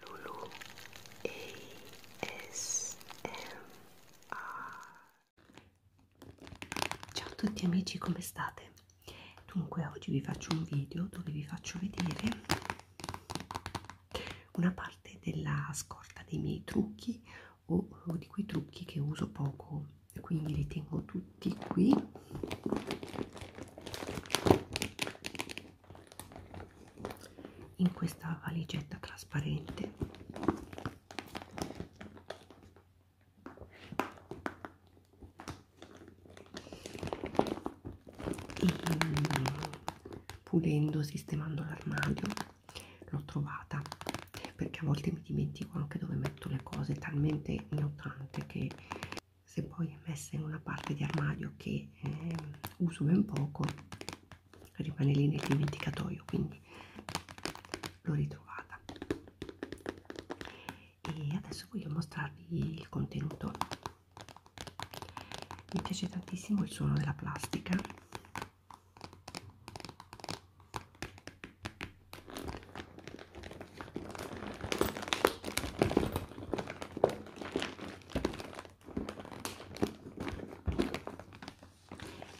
Lulu Ciao a tutti amici, come state? Dunque oggi vi faccio un video dove vi faccio vedere una parte della scorta dei miei trucchi o, o di quei trucchi che uso poco quindi li tengo tutti qui in questa valigetta trasparente pulendo sistemando l'armadio l'ho trovata perché a volte mi dimentico anche dove metto le cose talmente ne ho tante che se poi è messa in una parte di armadio che eh, uso ben poco rimane lì nel dimenticatoio quindi l'ho ritrovata e adesso voglio mostrarvi il contenuto mi piace tantissimo il suono della plastica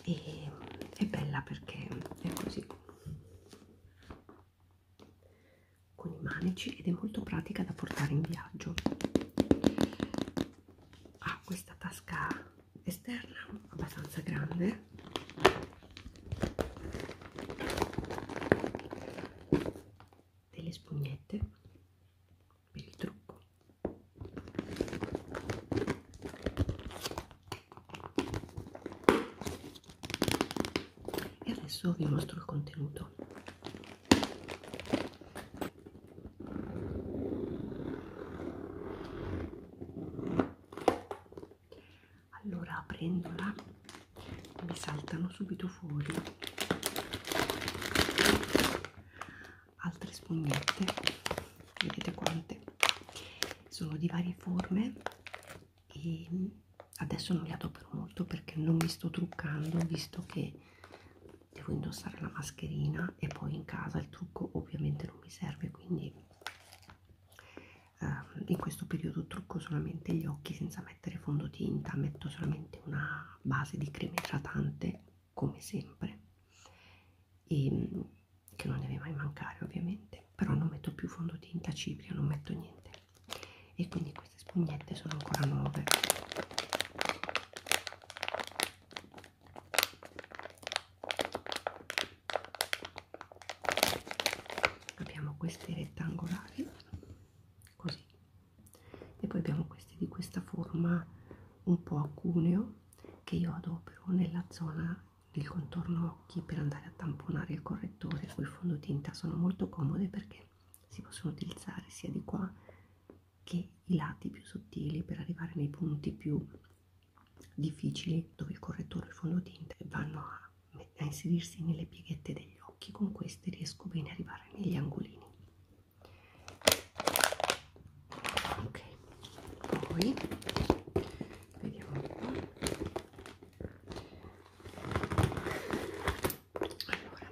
e è bella perché è così con i manici ed è molto pratica da portare in viaggio ha ah, questa tasca esterna abbastanza grande delle spugnette per il trucco e adesso vi mostro il contenuto allora prendo la mi saltano subito fuori altre spugnette vedete quante sono di varie forme e adesso non le adopero molto perché non mi sto truccando visto che devo indossare la mascherina e poi in casa il trucco ovviamente non mi serve quindi eh, in questo periodo trucco solamente gli occhi senza mettere mettere fondotinta metto solamente una base di crema idratante come sempre e che non deve mai mancare ovviamente però non metto più fondotinta cipria non metto niente e quindi queste spugnette sono ancora nuove abbiamo queste rettangolari così e poi abbiamo questi di questa forma un po' a cuneo che io adopero nella zona del contorno occhi per andare a tamponare il correttore o il fondotinta sono molto comode perché si possono utilizzare sia di qua che i lati più sottili per arrivare nei punti più difficili dove il correttore e il fondotinta vanno a a inserirsi nelle pieghette degli occhi, con queste riesco bene a arrivare negli angolini. Ok, poi vediamo un po'. Allora,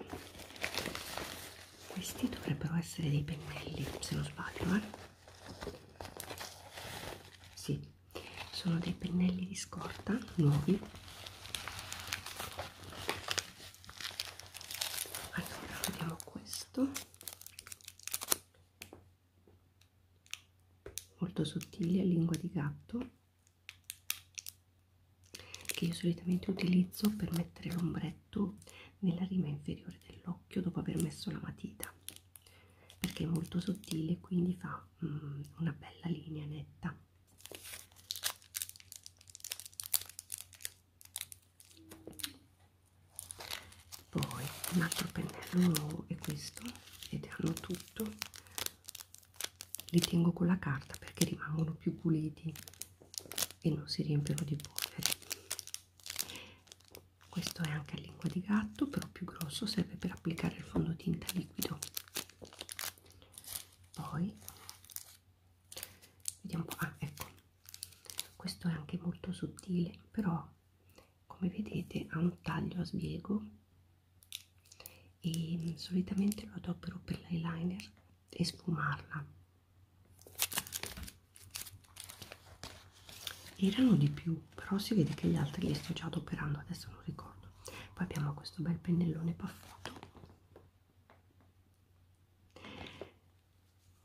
questi dovrebbero essere dei pennelli, se non sbaglio, eh? Sì, sono dei pennelli di scorta nuovi allora vediamo questo molto sottile lingua di gatto che io solitamente utilizzo per mettere l'ombretto nella rima inferiore dell'occhio dopo aver messo la matita perché è molto sottile quindi fa mm, una bella linea netta poi un altro pennello nuovo è questo ed hanno tutto li tengo con la carta perché rimangono più puliti e non si riempiono di polvere questo è anche a lingua di gatto però più grosso serve per applicare il fondotinta liquido poi vediamo un po'. Ah, ecco, questo è anche molto sottile, però come vedete ha un taglio a sbiego e solitamente lo adopero per l'eyeliner e sfumarla. Erano di più, però si vede che gli altri li sto già adoperando, adesso non ricordo poi abbiamo questo bel pennellone paffuto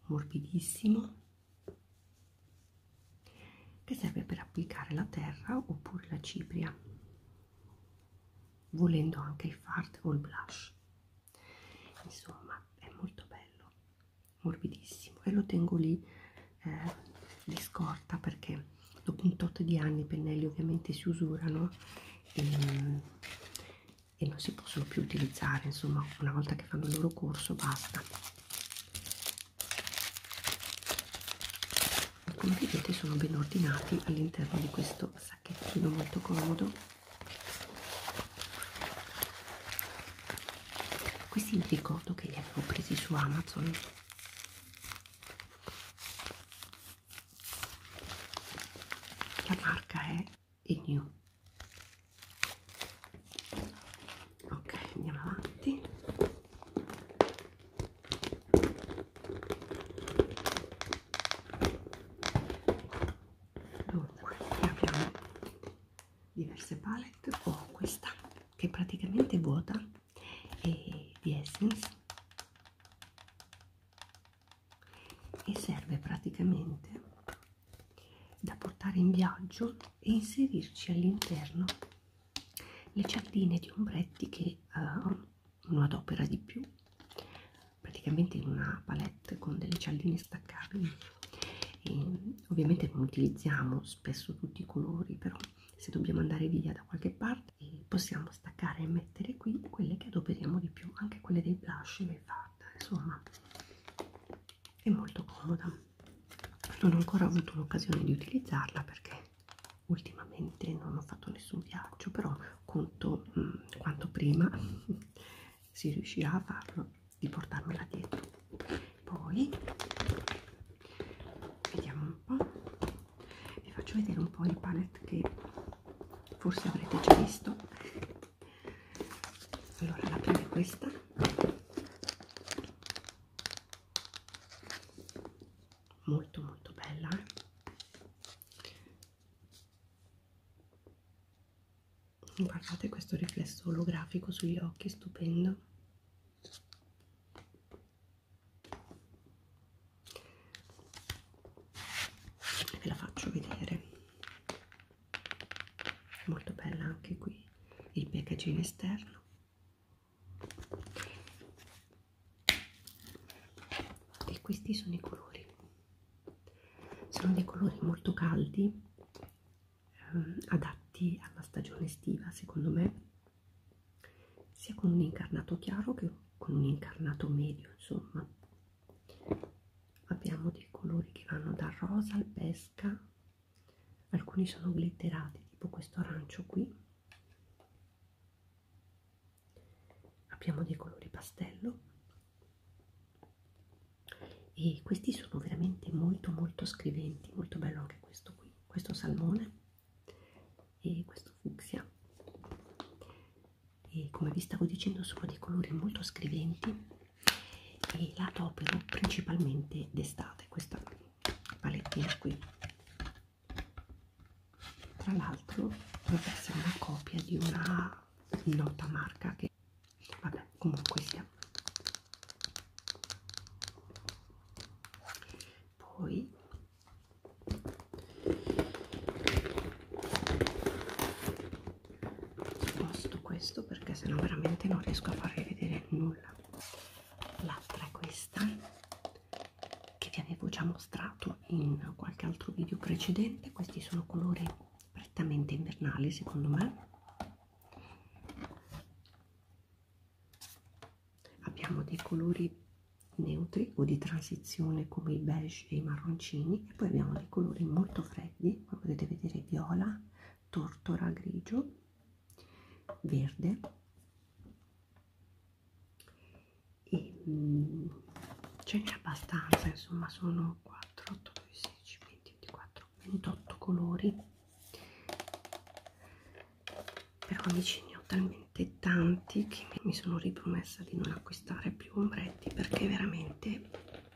morbidissimo che serve per applicare la terra oppure la cipria volendo anche il fart o il blush insomma è molto bello morbidissimo e lo tengo lì eh, di scorta perché dopo un tot di anni i pennelli ovviamente si usurano e, e non si possono più utilizzare insomma una volta che fanno il loro corso basta come vedete sono ben ordinati all'interno di questo sacchettino molto comodo questi vi ricordo che li avevo presi su amazon la marca è Inu ok andiamo avanti dunque abbiamo diverse palette ho questa che è praticamente vuota e di Essence e serve praticamente da portare in viaggio e inserirci all'interno le cialdine di ombretti che uh, eh, uno adopera di più praticamente in una palette con delle cialdine staccabili e ovviamente non utilizziamo spesso tutti i colori però se dobbiamo andare via da qualche parte eh, possiamo staccare e mettere qui quelle che adoperiamo di più anche quelle dei blush e fat insomma è molto comoda non ho ancora avuto l'occasione di utilizzarla perché ultimamente non ho fatto nessun viaggio però conto mh, mm, quanto prima si riuscirà a farlo di portarmela dietro poi vediamo un po' vi faccio vedere un po' il palette che forse avrete già visto allora la prima è questa molto molto bella eh? guardate questo riflesso olografico sugli occhi stupendo ve la faccio vedere molto bella anche qui il packaging esterno e questi sono i colori sono dei colori molto caldi ehm, adatti alla stagione estiva secondo me sia con un incarnato chiaro che con un incarnato medio insomma abbiamo dei colori che vanno dal rosa al pesca alcuni sono glitterati tipo questo arancio qui abbiamo dei colori pastello e questi sono veramente molto molto scriventi molto bello anche questo qui questo salmone e questo fucsia e come vi stavo dicendo sono dei colori molto scriventi e la opero principalmente d'estate questa palettina qui tra l'altro dovrebbe essere una copia di una nota marca che vabbè comunque sia poi Posto questo perché sennò veramente non riesco a farvi vedere nulla. L'altra è questa che vi avevo già mostrato in qualche altro video precedente. Questi sono colori prettamente invernali secondo me Abbiamo dei colori neutri o di transizione come i beige e i marroncini e poi abbiamo dei colori molto freddi, come potete vedere viola, tortora, grigio, verde e mm, ce n'è abbastanza, insomma sono 4, 8, 9, 16, 20, 24, 28 colori però amici ne ho talmente tanti che mi sono ripromessa di non acquistare più ombretti perché veramente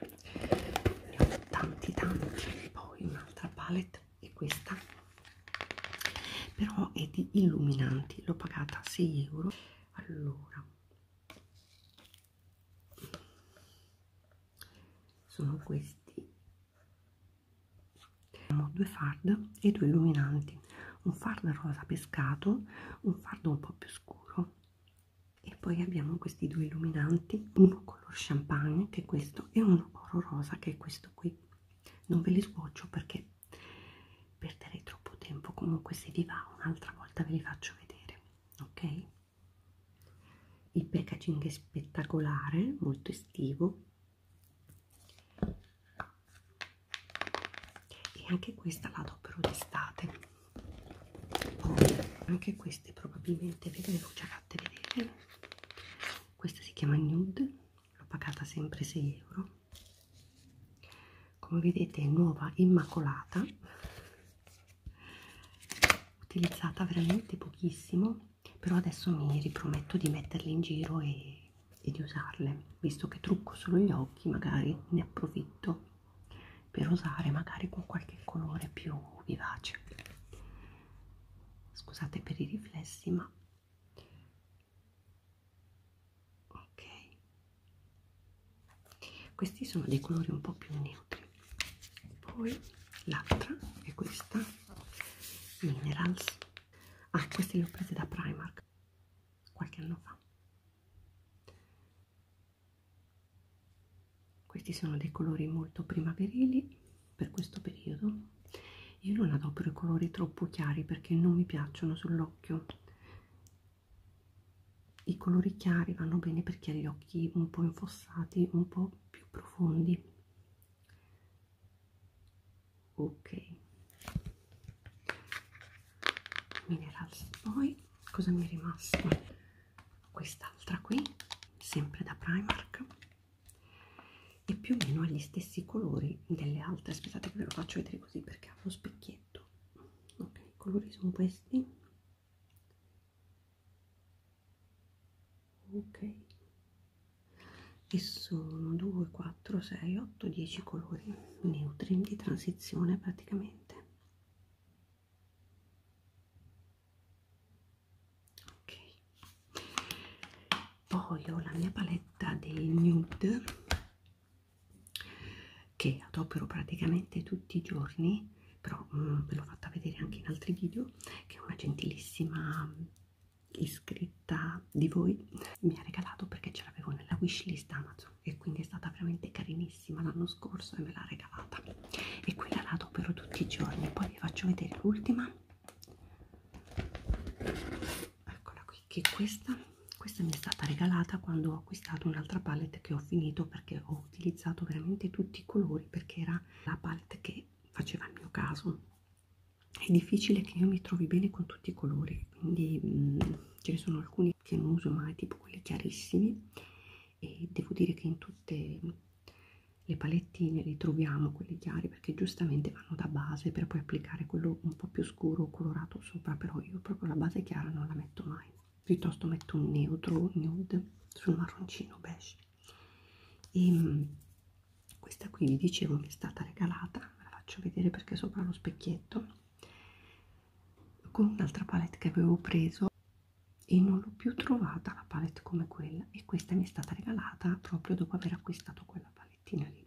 ne ho tanti tanti poi un'altra palette è questa però è di illuminanti l'ho pagata 6 euro allora sono questi abbiamo due fard e due illuminanti un fard rosa pescato un fard un po più scuro e poi abbiamo questi due illuminanti uno color champagne che è questo e uno oro rosa che è questo qui non ve li sboccio perché perderei troppo tempo comunque se vi va un'altra volta ve li faccio vedere ok il packaging è spettacolare molto estivo e anche questa la adopero d'estate poi anche queste probabilmente ve le ho già fatte vedere questa si chiama nude l'ho pagata sempre 6 euro come vedete è nuova immacolata utilizzata veramente pochissimo però adesso mi riprometto di metterle in giro e, e di usarle visto che trucco solo gli occhi magari ne approfitto per usare magari con qualche colore più vivace scusate per i riflessi ma ok questi sono dei colori un po' più neutri poi l'altra è questa minerals ah queste le ho prese da Primark qualche anno fa questi sono dei colori molto primaverili per questo periodo io non adopero i colori troppo chiari perché non mi piacciono sull'occhio i colori chiari vanno bene perché ha gli occhi un po' infossati un po' più profondi ok minerals poi cosa mi è rimasto quest'altra qui sempre da primark e più o meno ha gli stessi colori delle altre aspettate che ve lo faccio vedere così perché ha lo specchietto ok i colori sono questi ok e sono 2 4 6 8 10 colori neutri di transizione praticamente ok poi ho la mia paletta dei nude che adopero praticamente tutti i giorni però mm, ve l'ho fatta vedere anche in altri video che è una gentilissima iscritta di voi mi ha regalato perché ce l'avevo nella wishlist Amazon e quindi è stata veramente carinissima l'anno scorso e me l'ha regalata e quella la adopero tutti i giorni poi vi faccio vedere l'ultima eccola qui che questa questa mi è stata regalata quando ho acquistato un'altra palette che ho finito perché ho utilizzato veramente tutti i colori perché era la palette che faceva il mio caso è difficile che io mi trovi bene con tutti i colori quindi mh, mm, ce ne sono alcuni che non uso mai tipo quelli chiarissimi e devo dire che in tutte le palettine li troviamo quelli chiari perché giustamente vanno da base per poi applicare quello un po' più scuro o colorato sopra però io proprio la base chiara non la metto mai piuttosto metto un neutro nude sul marroncino beige e questa qui vi dicevo mi è stata regalata ve la faccio vedere perché sopra lo specchietto con un'altra palette che avevo preso e non l'ho più trovata la palette come quella e questa mi è stata regalata proprio dopo aver acquistato quella palettina lì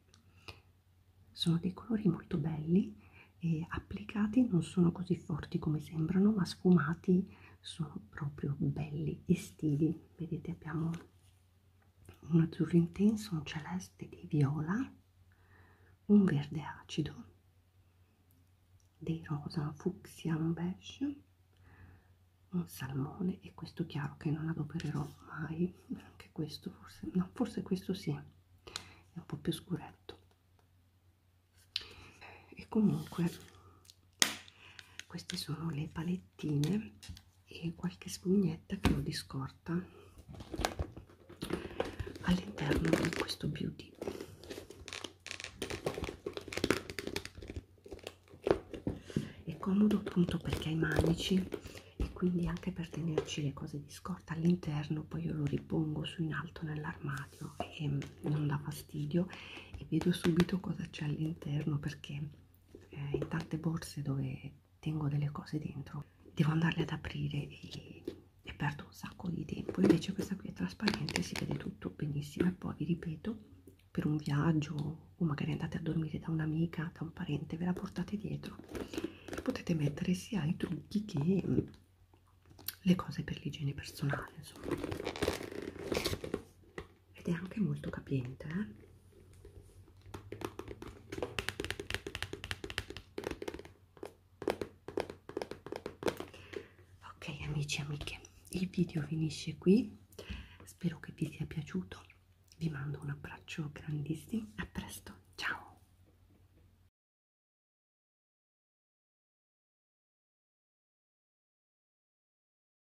sono dei colori molto belli e applicati non sono così forti come sembrano ma sfumati sono proprio belli estivi vedete abbiamo un azzurro intenso, un celeste dei viola, un verde acido, dei rosa, un fucsia, un beige, un salmone e questo chiaro che non adopererò mai, anche questo forse, no, forse questo sì, è un po' più scuretto. E comunque queste sono le palettine e qualche spugnetta che ho di scorta all'interno di questo beauty è comodo appunto perché ha i manici e quindi anche per tenerci le cose di scorta all'interno poi io lo ripongo su in alto nell'armadio e non dà fastidio e vedo subito cosa c'è all'interno perché eh, in tante borse dove tengo delle cose dentro devo andarle ad aprire e, e perdo un sacco di tempo invece questa qui è trasparente si vede tutto benissimo e poi vi ripeto per un viaggio o magari andate a dormire da un'amica da un parente ve la portate dietro potete mettere sia i trucchi che le cose per l'igiene personale insomma ed è anche molto capiente eh? ok amici e amiche il video finisce qui spero che vi sia piaciuto vi mando un abbraccio grandissimo a presto ciao